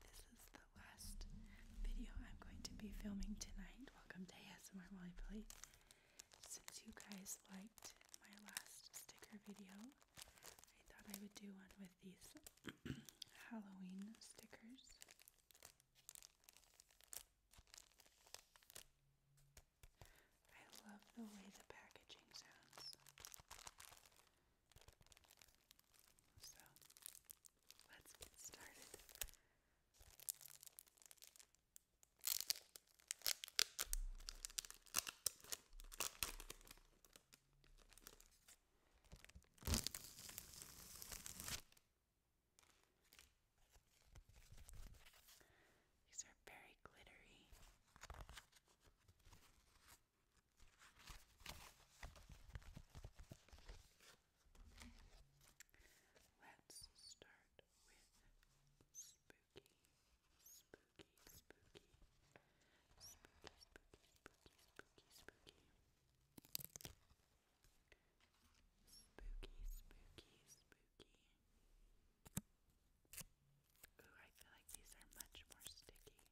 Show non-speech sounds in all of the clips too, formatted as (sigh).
this is the last video I'm going to be filming tonight. Welcome to ASMR Molly Play. Since you guys liked my last sticker video, I thought I would do one with these (clears throat) Halloween stickers. I love the way the packaging sounds. So let's get started. These are very glittery. Let's start with spooky, spooky, spooky, spooky, spooky, spooky, spooky, spooky, spooky, I feel like these are much more sticky.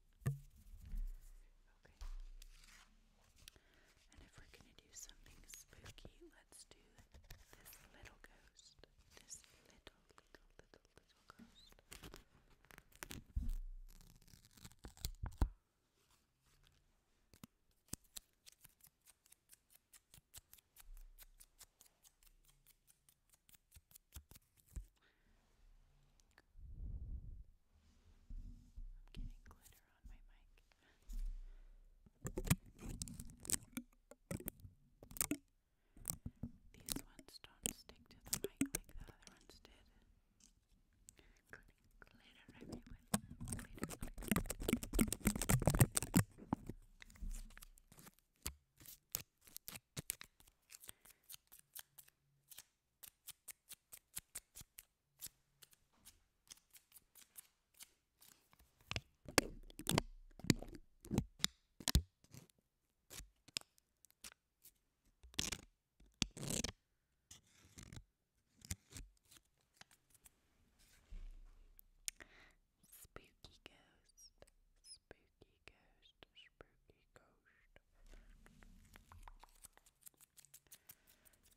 And if we're going to do something spooky, let's do this little ghost. This little, little, little, little ghost. I'm getting glitter on my mic. These ones don't stick to the mic like the other ones did. Glitter everywhere. Glitter, glitter. Spooky ghost, spooky spooky ghost, spooky ghost.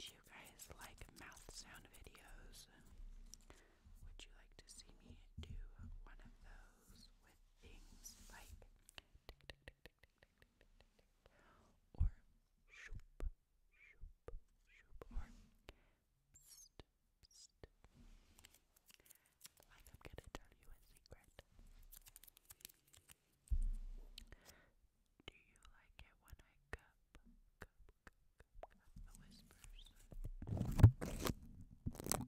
Do you guys like mouth sound videos? Would you like to see me do one of those with things like tick tick tick tick tick tick tick tick, tick, tick or shoop shoop shoop or pst pst? I'm gonna tell you a secret. Do you like it when I cup, cup, cup, cup, cup the whispers? Why not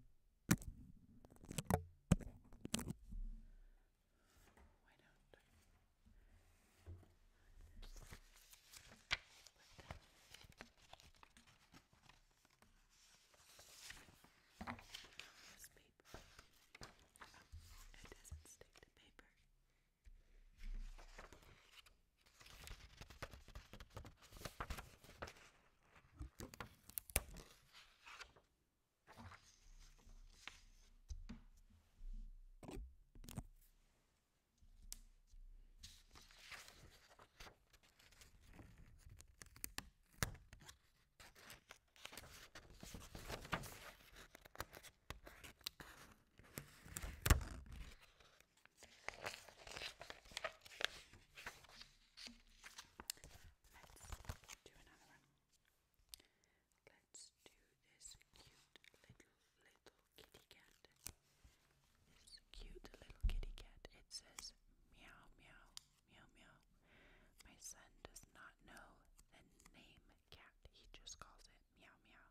this paper. Oh, it doesn't stick to paper. Let's do another one. Let's do this cute little little kitty cat. This cute little kitty cat. It says meow meow Meow meow. My son does not know the name cat. He just calls it meow meow.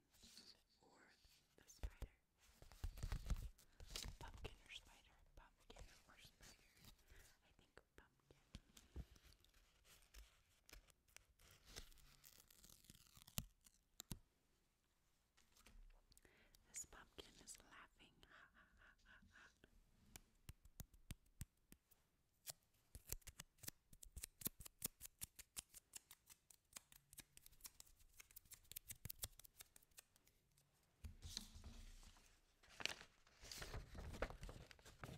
or the spider. Pumpkin or spider, pumpkin or spider. I think pumpkin. This pumpkin is laughing. Let's tear this paper.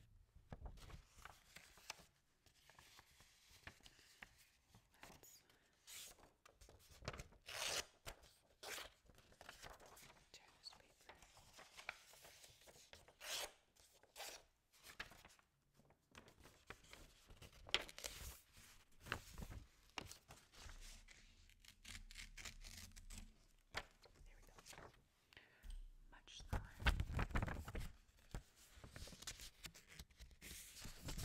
There we go. Much slime. Let's do the skeleton.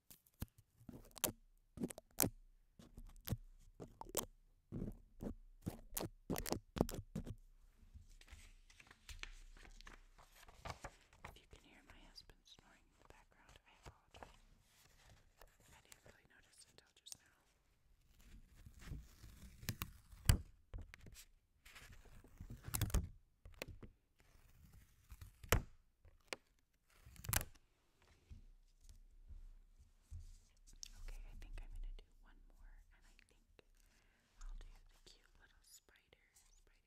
If you can hear my husband snoring in the background, I apologize. I didn't really notice until just now. Okay, I think I'm gonna do one more, and I think I'll do the cute little spider, spider,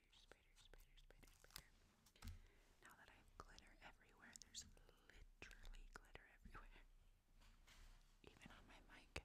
spider, spider, spider, spider. Now that I have glitter everywhere, there's literally glitter everywhere, even on my mic.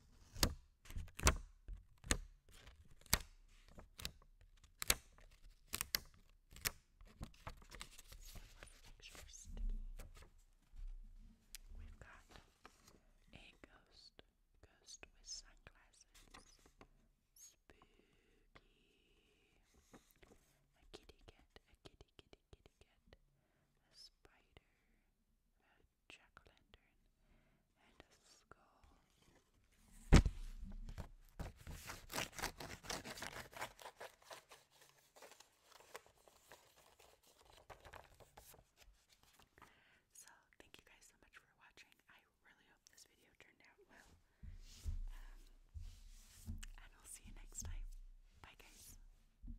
We've got a ghost, ghost with sunglasses, spooky, a kitty cat, a kitty kitty kitty cat, a spider, a jack-o'-lantern, and a skull. So, thank you guys so much for watching. I really hope this video turned out well. Um, and I'll see you next time. Bye, guys.